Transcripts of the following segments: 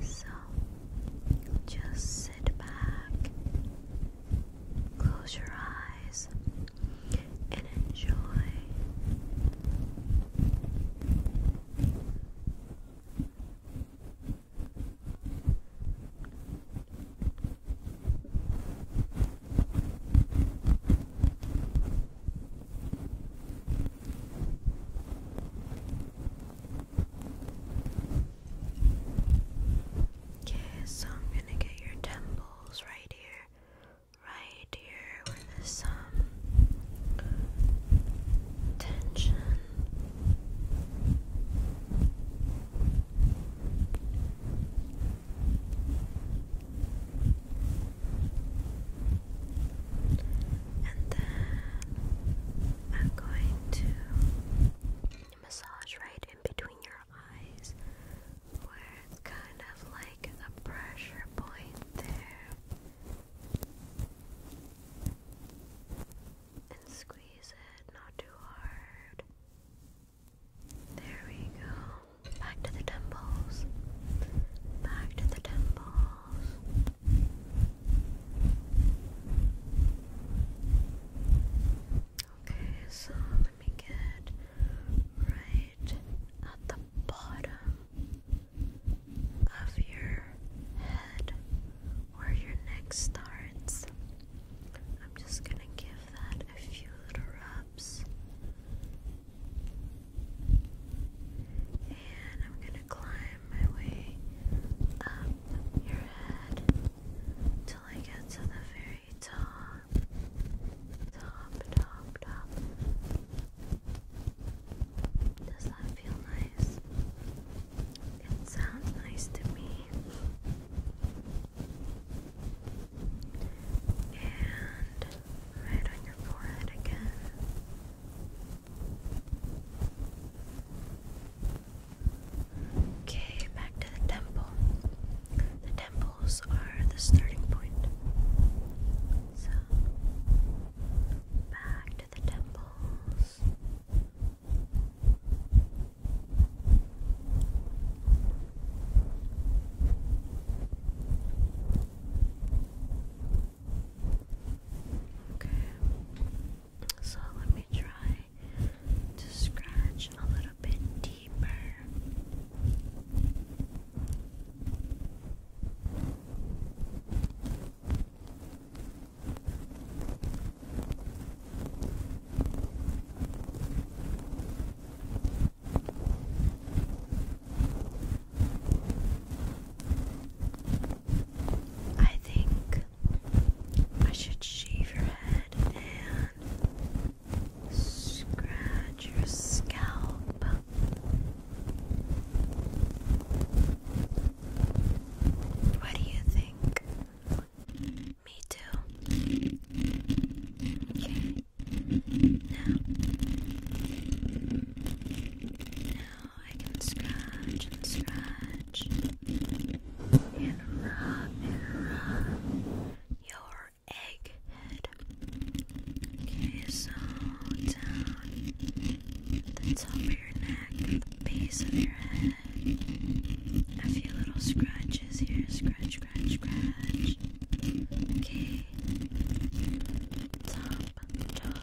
So just sit back, close your eyes, and enjoy. Okay, so I'm gonna get your temples right here, right here, with there's some tension and then I'm going to massage right in between your eyes where it's kind of like a pressure point there and squeeze it not too hard. There we go. Back to the temples. Back to the temple. Okay, so let me get right at the bottom of your head where your neck starts. I'm just gonna give that a few little rubs. And I'm going to climb my way up your head till I get to the very top. Top, top, Does that feel nice? It sounds nice to me. And right on your forehead again. Okay, back to the temple. The temples are the starting point. So, back to the temples. Okay, so let me try to scratch a little bit deeper. I think I should shave your head and scratch your scalp. What do you think? Me too. Okay. Now. Now. I can scratch and scratch and rub and rub your egg Okay, so down the top of your neck, the base of your head. A few little scratches here. Scratch, scratch, scratch. Okay. Top, top,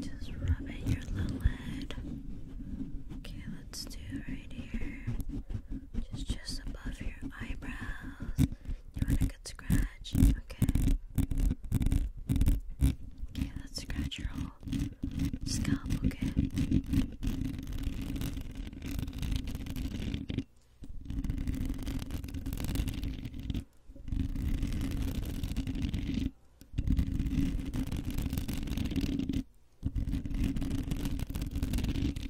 Just rubbing your little head. Okay, let's do right here just just above your eyebrows. You want a good scratch, okay? Okay, let's scratch your whole scalp, okay?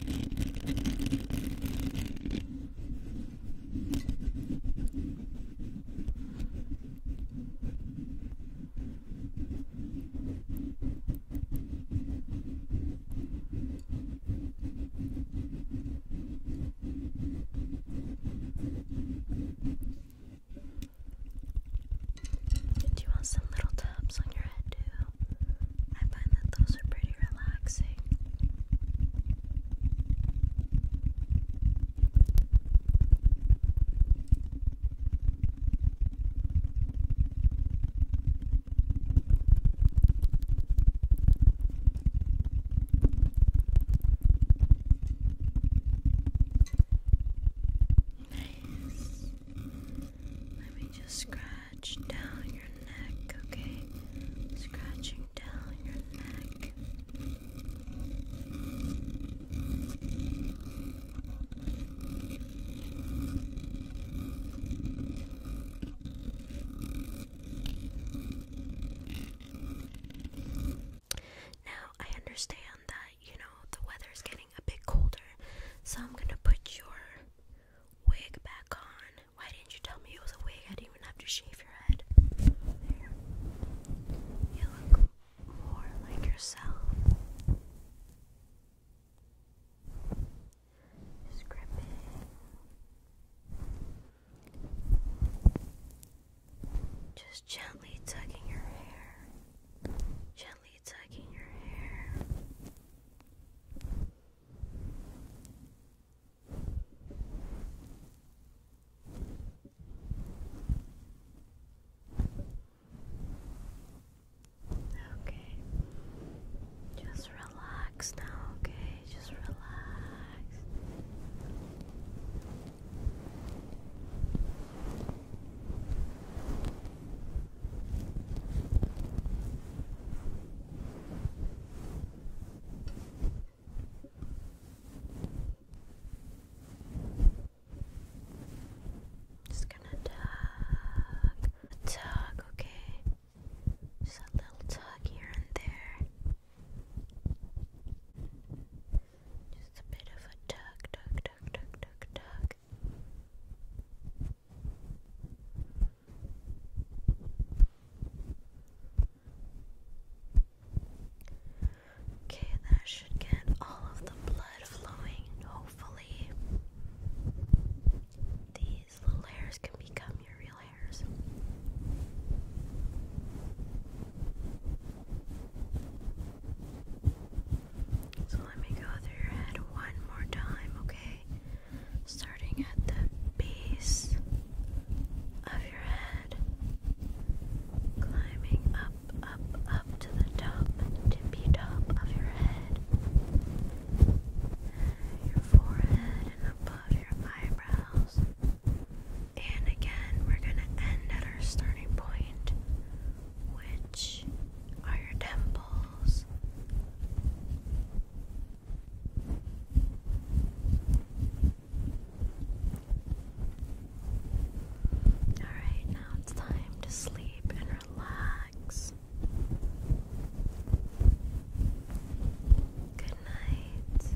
Do you want some little taps on your head too? I find that those are pretty relaxing. Let me just scratch scratch down your neck, okay? Scratching down your neck. Now, I understand that, you know, the weather is getting a bit colder, so I'm gonna put your wig back on why didn't you tell me it was a wig? I didn't even have to shave your head. You look more like yourself. Script it. Just gently tugging your hair. Gently tugging your hair. Okay. Just relax now, okay? Just relax. Just gonna tug, tug, okay? Just a little tug here and there. Just a bit of a tug, tug, tug, tug, tug, tug. Okay, that should get all of the blood flowing, and hopefully, these little hairs can become your real hairs. So let me go through your head one more time, okay? starting at the base of your head, climbing up, up, up to the top, tippy top of your head, your forehead, and above your eyebrows. And again, we're going to end at our starting point, which are your temples. Alright, now it's time to sleep and relax. Good night.